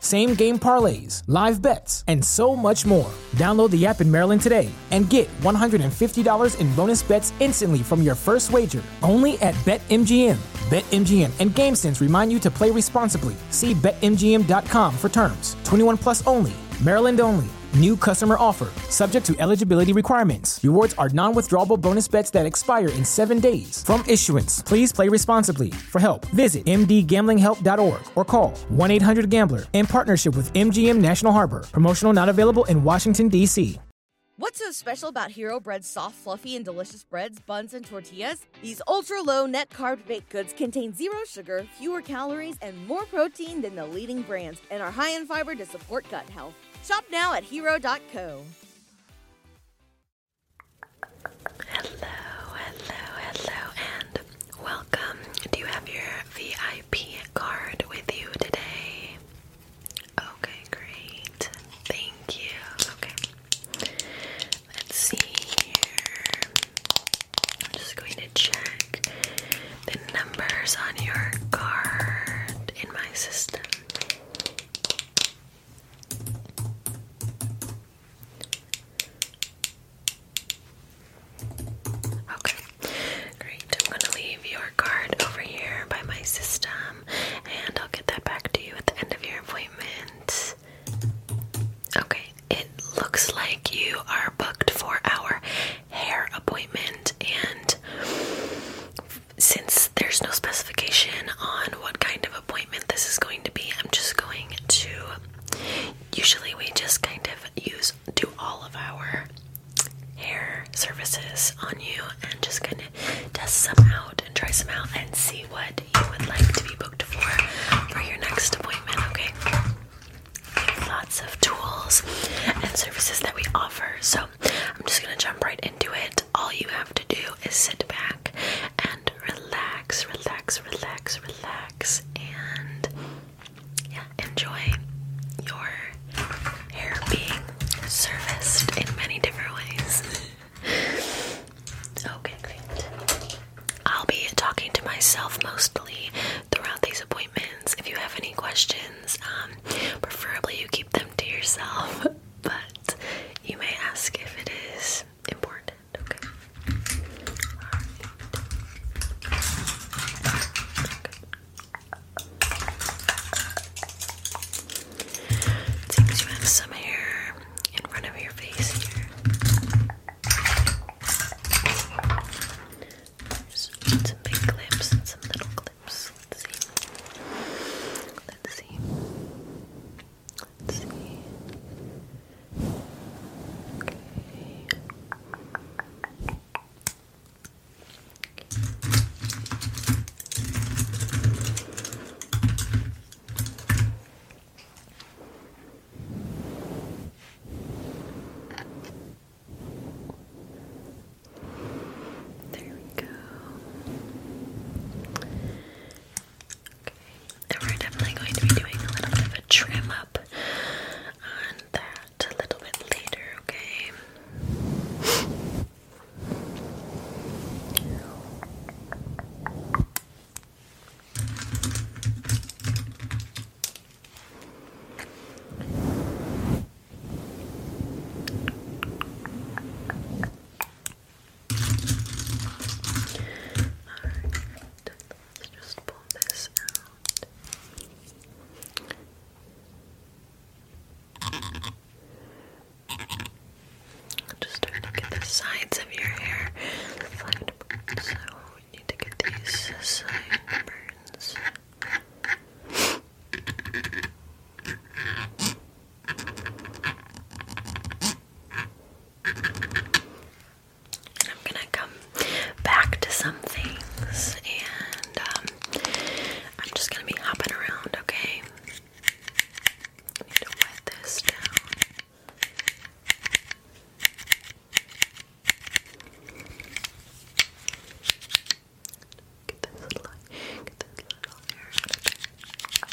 same game parlays, live bets, and so much more. Download the app in Maryland today and get $150 in bonus bets instantly from your first wager only at BetMGM. BetMGM and GameSense remind you to play responsibly. See BetMGM.com for terms. 21 plus only. Maryland only. New customer offer, subject to eligibility requirements. Rewards are non withdrawable bonus bets that expire in seven days. From issuance, please play responsibly for help. Visit mdgamblinghelp.org or call 1 800 Gambler in partnership with MGM National Harbor. Promotional not available in Washington, D.C. What's so special about Hero Bread's soft, fluffy, and delicious breads, buns, and tortillas? These ultra low net carb baked goods contain zero sugar, fewer calories, and more protein than the leading brands, and are high in fiber to support gut health. Shop now at hero.co. Hello, hello, hello, and welcome. Do you have your VIP card with you today? Okay, great. Thank you. Okay. Let's see here. I'm just going to check the numbers on your card in my system. Okay, great. I'm going to leave your card over here by my system, and I'll get that back to you at the end of your appointment. Okay, it looks like you are booked for our hair appointment, and since there's no specification on what kind of appointment this is going to be. I'm just going to. Usually, we just kind of use do all of our hair services on you and just kind of test some out and try some out and see what you would like to be booked for for your next appointment. Okay. Lots of tools and services that we offer. So I'm just gonna jump right into it. All you have to do is sit back and relax, relax, relax, relax, and yeah, enjoy your hair being serviced in many different ways. okay, great. I'll be talking to myself mostly throughout these appointments. If you have any questions, um, preferably you keep them to yourself, but you may ask if it is important. Okay. Okay. Seems you have some hair in front of your face here. There's some big clips and some little clips. Let's see. Let's see. Let's see. Okay. There we go. And we're definitely going to be doing a little bit of a trim up on that a little bit later, okay? Alright, let's just pull this out. I'll just try to get the sides of your hair flagged. So we need to get these sideburns. I'm gonna come back to some things, and um, I'm just gonna be hopping around, okay? need to wet this down. Get this little, get this little hair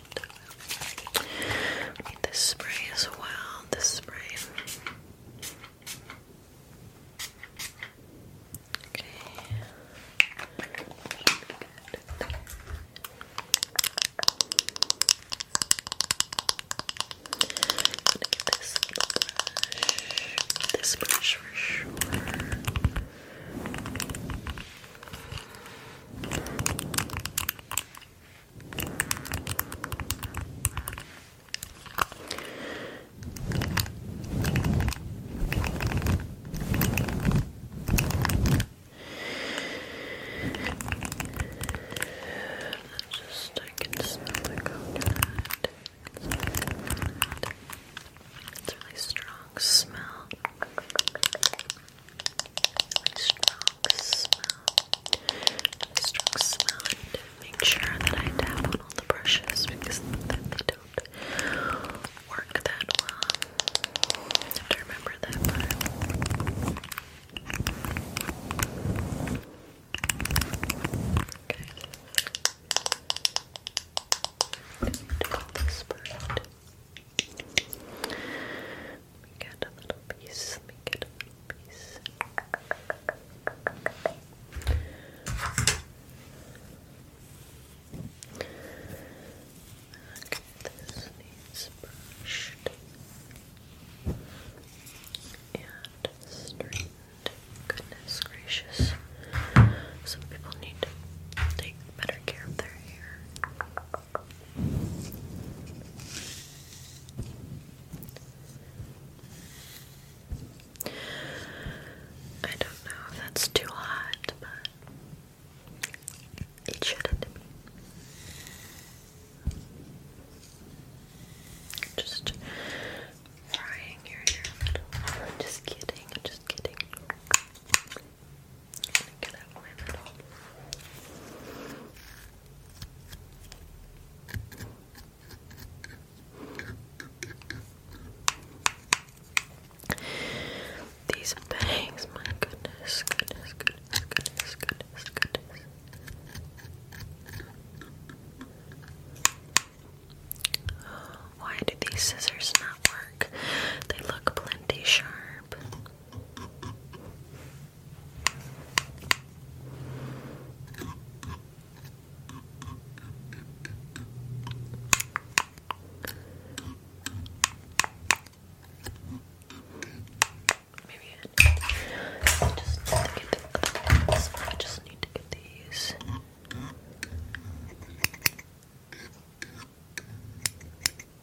this spray as well. This spray. Okay. this brush. This brush for sure. Just I can smell a really strong smell really strong smell. smell make sure that I tap on all the brushes because they don't work that well. have to remember that part. Okay. Call this bird. Let me a little piece. Let me a little piece. Okay, this needs brushed and straightened. Goodness gracious. Some people need to take better care of their hair. I don't know if that's too hot, but it shouldn't Just frying your hair Just kidding, just kidding. These bangs, my goodness. Why do these scissors not work? They look plenty sharp. Maybe I just need to get the other ones. I just need to get these.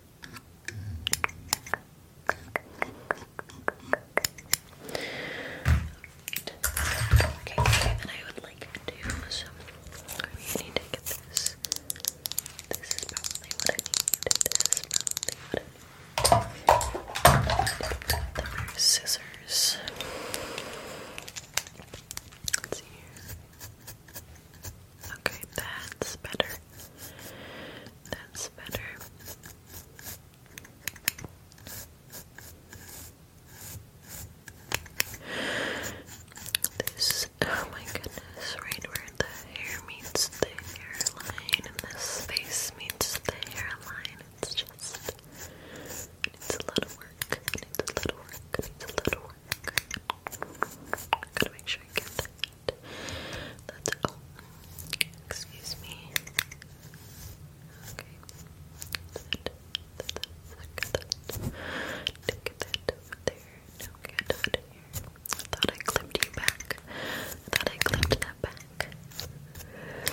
Okay, okay, I would like to You need to get this. This is probably what I need. This is probably what I need. scissors. Okay, that's better. That's better. This, oh my goodness, right where the hair meets the hairline and this face meets the hairline, it's just, it a lot work, it a lot work, it a lot of Gotta make sure I get that. That's oh, excuse me. Okay, that's it. That's it. That's it. That's it. that there. Now get out here. thought I clipped you back. thought I clipped that back. thought I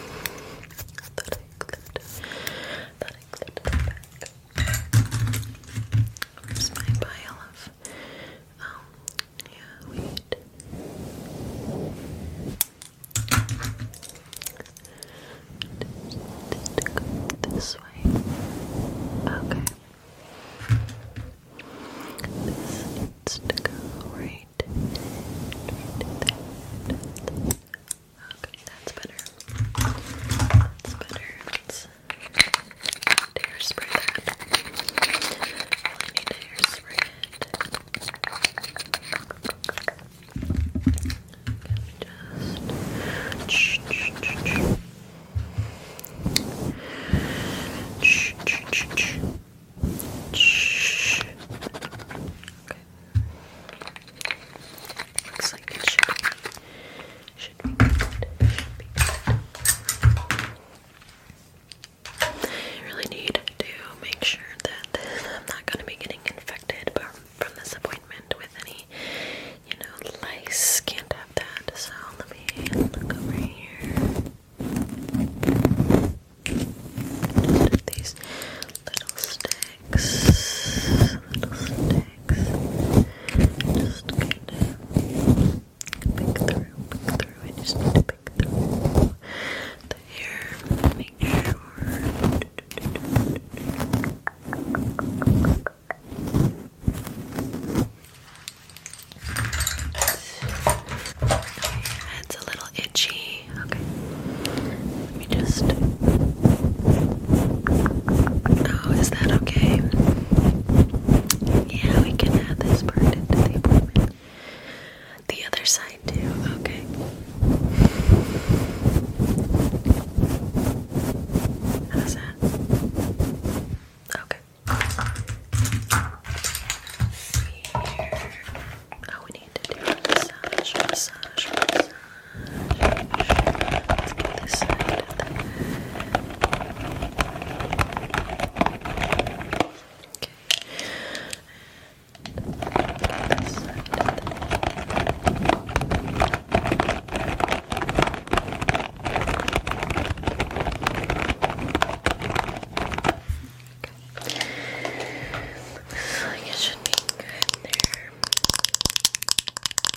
clipped. thought I clipped that back. Where's my pile of Oh yeah, wait. this way. Okay. This needs right, Okay, that's better. That's better to hairspray that. I need hairspray it. Can we just... Okay. Looks like it should be should be I really need to make sure that I'm not going to be getting infected from this appointment with any, you know, lice. can that. So let me look over here. these Little sticks. Just gonna pick through, through. I just need to pick through the Make sure. it's a little itchy. Okay, let me just Oh, is that okay? Yeah, we can add this part into the appointment. The other side, too. Okay. How's that? Okay. Here. Oh, we need to do a massage, massage. Let's get this side of the Okay. So you should be good there.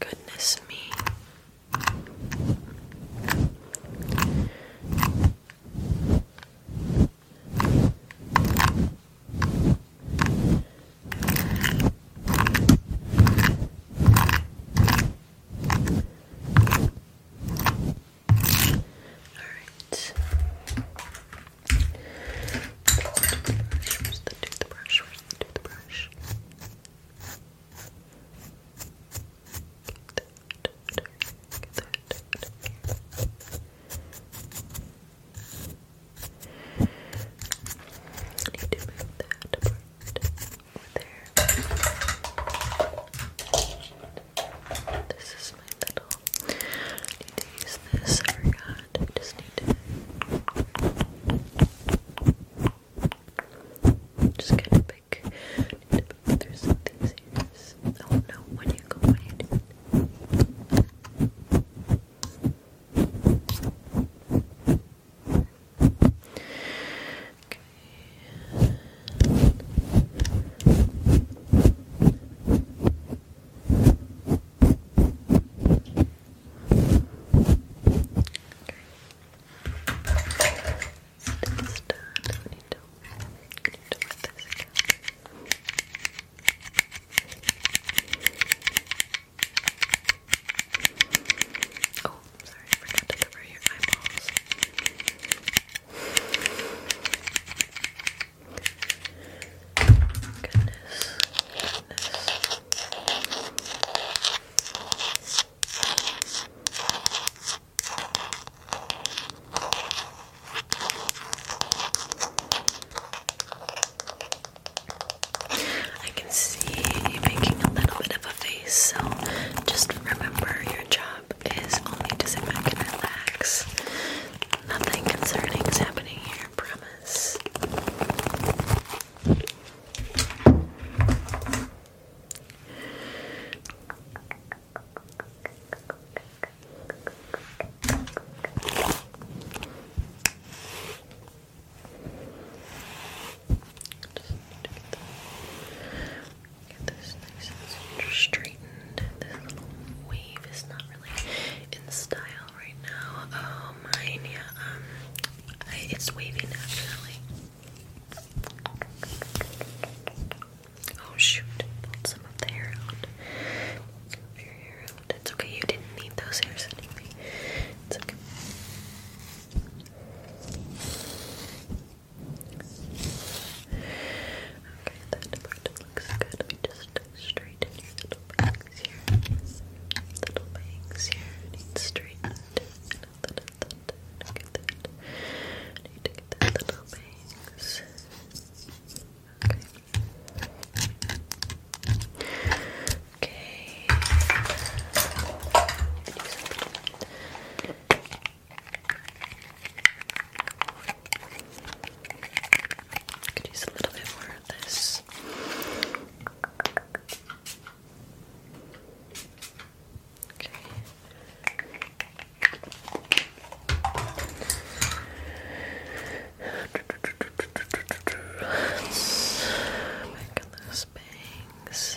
Goodness me. All right. Where's the toothbrush? the toothbrush? Get that, get that, get need to move that apart there. This is my little I need to use this. I forgot. just need to. Just kind of pick. I need here. I don't know when you go, when you do Okay. It's done. I need to, I need to wet this again. Oh, sorry, I forgot to cover your eyeballs. I can see you making a little bit of a face, so just remember your job is only to sit back and relax. Nothing concerning is happening here, promise. Just get this nice and straightened. This little wave is not in style right now. Oh, mine, yeah. Um, it's wavy actually. Oh shoot! Pulled some of the hair out. some of your hair out. It's okay. You didn't need those hairs anyway. It's okay. Okay, that part looks good. I just straighten your little bangs here. Little bangs here. Need straightened. Look at that. Need to get that little bangs. Okay. Okay. I could use a little bit more of this. Okay. Let's bangs.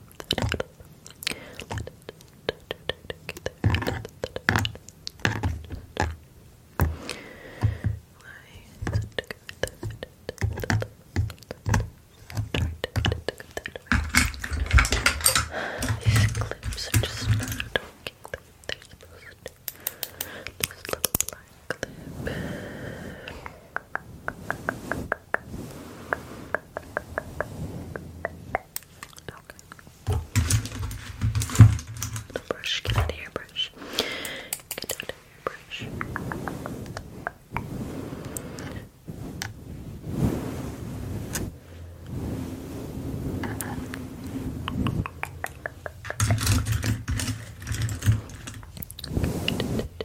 These clips are just not working they're supposed to. This little black Okay. The brush, get out of here, brush. Get out of here, brush. Good.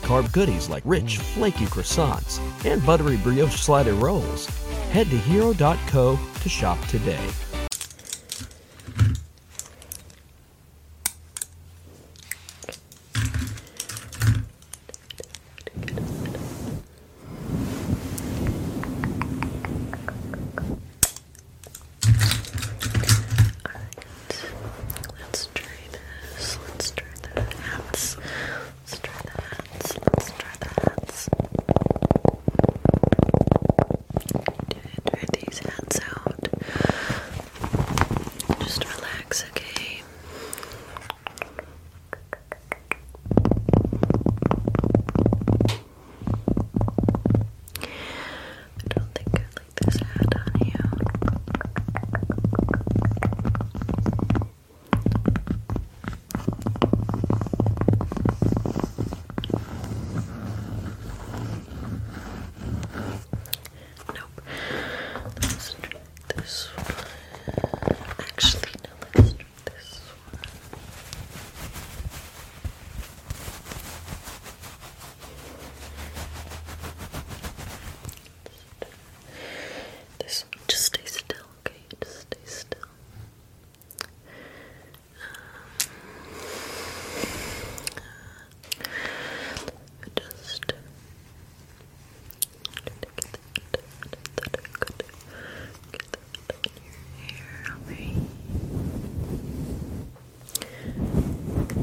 carb goodies like rich, flaky croissants and buttery brioche slider rolls. Head to hero.co to shop today. Let's try this. Let's try the hats. Let's try the hats. Let's try the hats. Try these hats out. Just relax, okay? I don't think this hat on you. Nope. Let's try this one. Actually, let's try this one just stay still, okay? Just stay still. just get that on your hair, okay?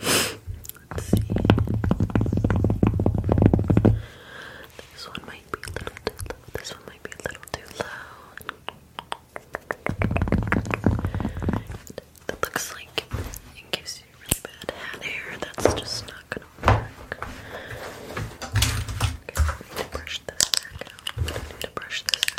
Let's see. This one might be a little too low. This one might be a little too low. That looks like it gives you really bad hat hair. That's just not gonna work. need to brush this out. need to brush this out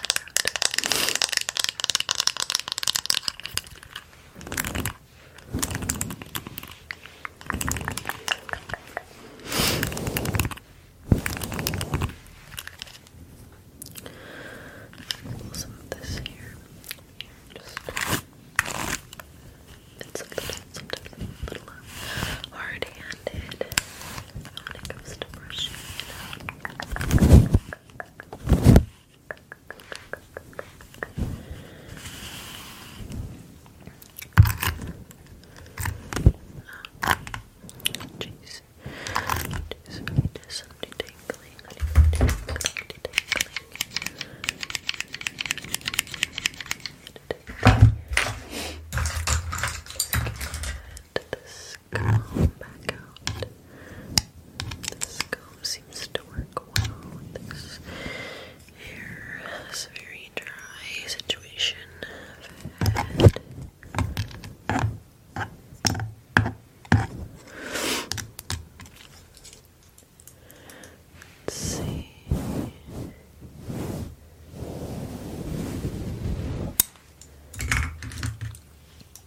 some of this here. Just sometimes, a little uh, hard-handed when it comes to brushing. You Jeez. Jeez. There's somebody tingling. Tingling. Tingling. Get this comb back out. This comb seems to work well with this hair. It's very dry situation Let's see.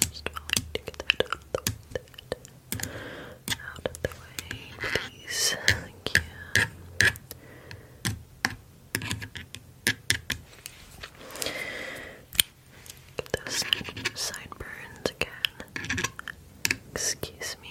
Just to get that Out of the way, please. Thank you. Get those sideburns again. Excuse me.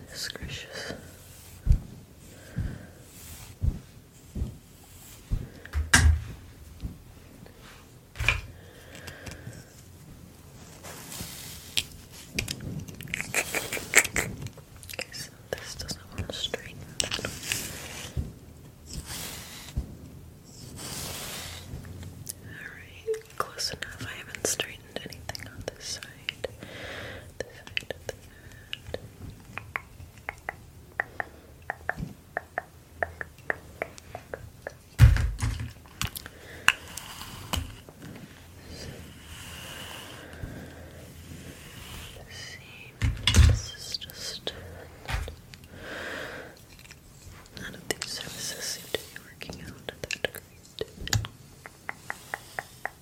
Goodness gracious. Okay, so this doesn't want to straighten Alright, close enough. I haven't straightened anything on this side. This side of the See, this is just none of these services seem to be working out at that great.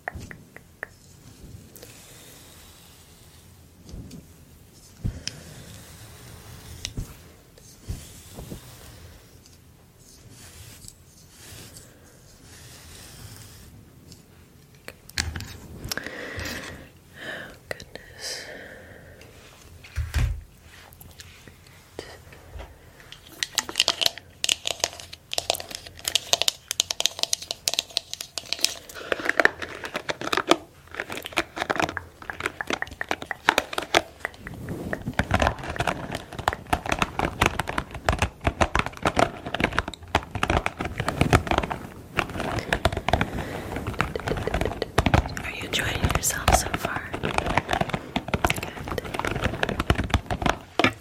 Oh, goodness. Right. Are you enjoying yourself so far?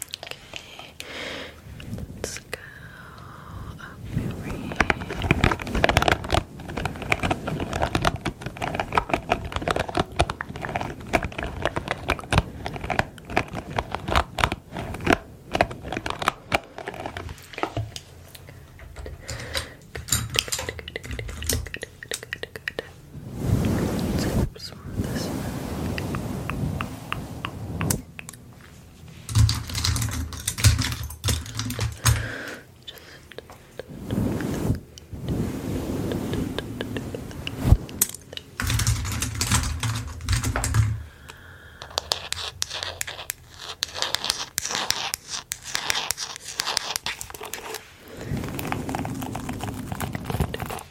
Okay. Let's go up over here. Good, good, good, good, good, good, good, good, good, good this one, this one. Just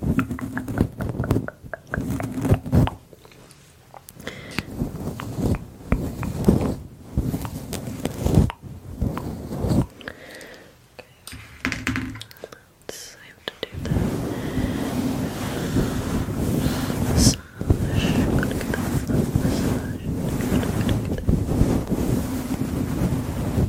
Let's have to do that. Massage. Gotta get that massage. Gotta get that.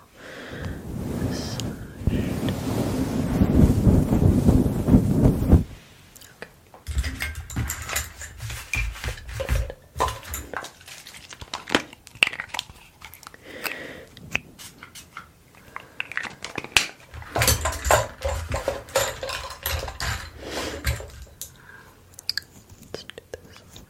massaged. Okay. Good. Let's do this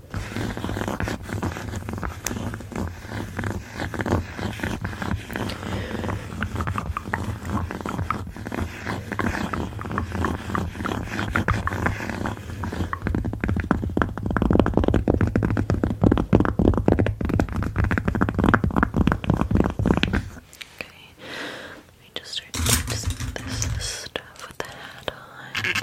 Okay, let me just start doing some of this stuff with the hat on.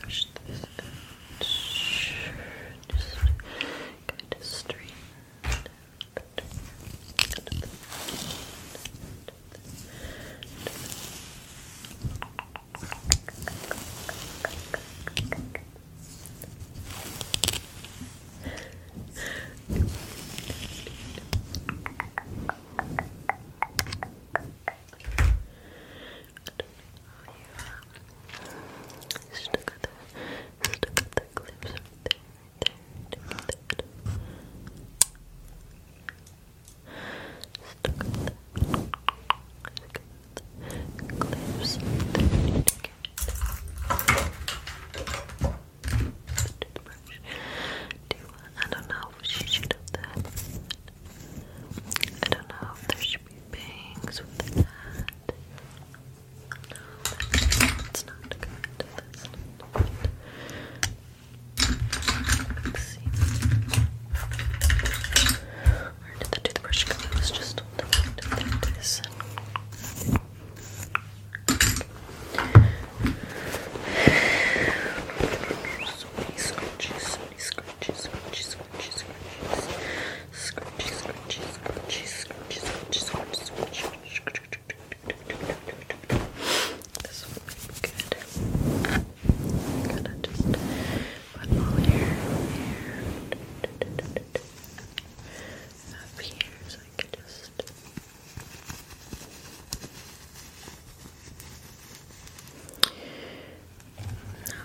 Brush this out. Just kind of straighten it Good know you stuck at the, stuck at the clips there, there, there, there. Stuck at the, stuck at the clips there, there, there. Do, I don't know if she should have that. I don't know if there should be bangs with that. No, that's not good. That's not good. let the toothbrush It was just on the end of this. So many scratches, so many scratches, so many scratches, scrunchy, scrunchy, scrunchy, scrunchy, scrunchy, scrunchy, scrunchy, scrunchy. This will be good. I'm gonna just put all here, here, up here, so I can just. Now,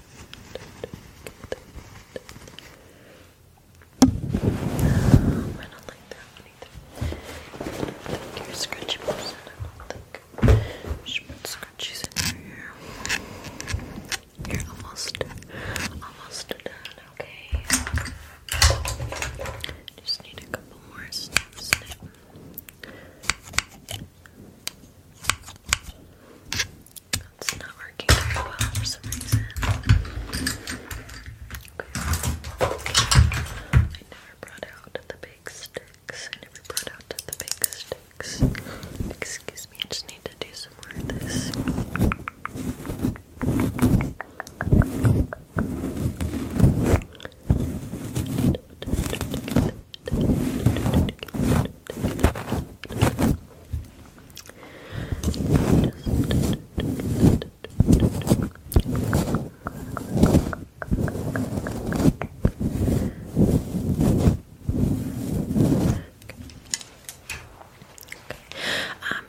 I don't like that either. you're a scratchy put scratchies in here. You're almost, almost done, okay? Just need a couple more snip, that's not working very well for some reason. I never brought out the big sticks. I never brought out the big sticks. Excuse me, I just need to do some more of this. Um,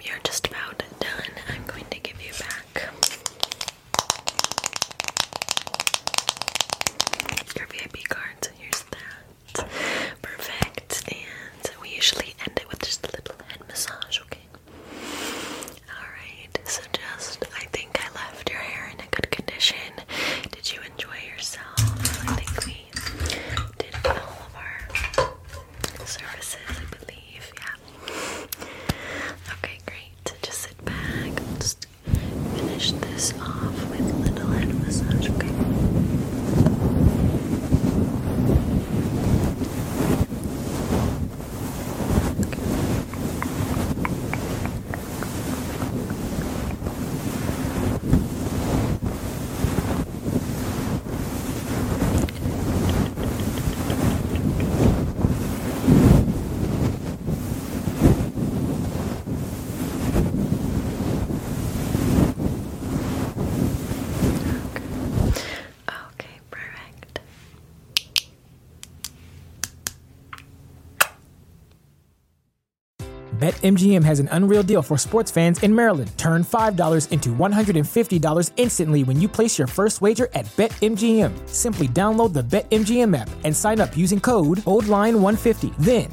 you're just about done. I'm going to give you back your VIP cards. Here's that. Perfect. And we usually end it with just a little head massage, okay? Alright, so just, I think I left your hair in a good condition. Did you enjoy yourself? I think we did all of our services, I believe, yeah. Okay, great. Just sit back finish this off with a little head massage, Okay. Okay, perfect. BetMGM has an unreal deal for sports fans in Maryland. Turn $5 into $150 instantly when you place your first wager at BetMGM. Simply download the BetMGM app and sign up using code OLDLINE150. Then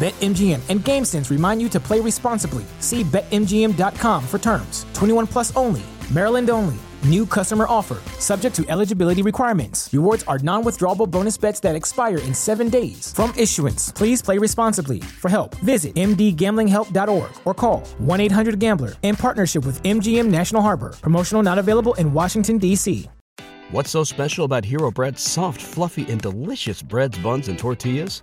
BetMGM. and GameSense remind you to play responsibly. See BetMGM.com for terms. 21 plus only. Maryland only. New customer offer, subject to eligibility requirements. Rewards are non withdrawable bonus bets that expire in seven days. From issuance, please play responsibly. For help, visit mdgamblinghelp.org or call 1 800 Gambler in partnership with MGM National Harbor. Promotional not available in Washington, D.C. What's so special about Hero Bread's soft, fluffy, and delicious breads, buns, and tortillas?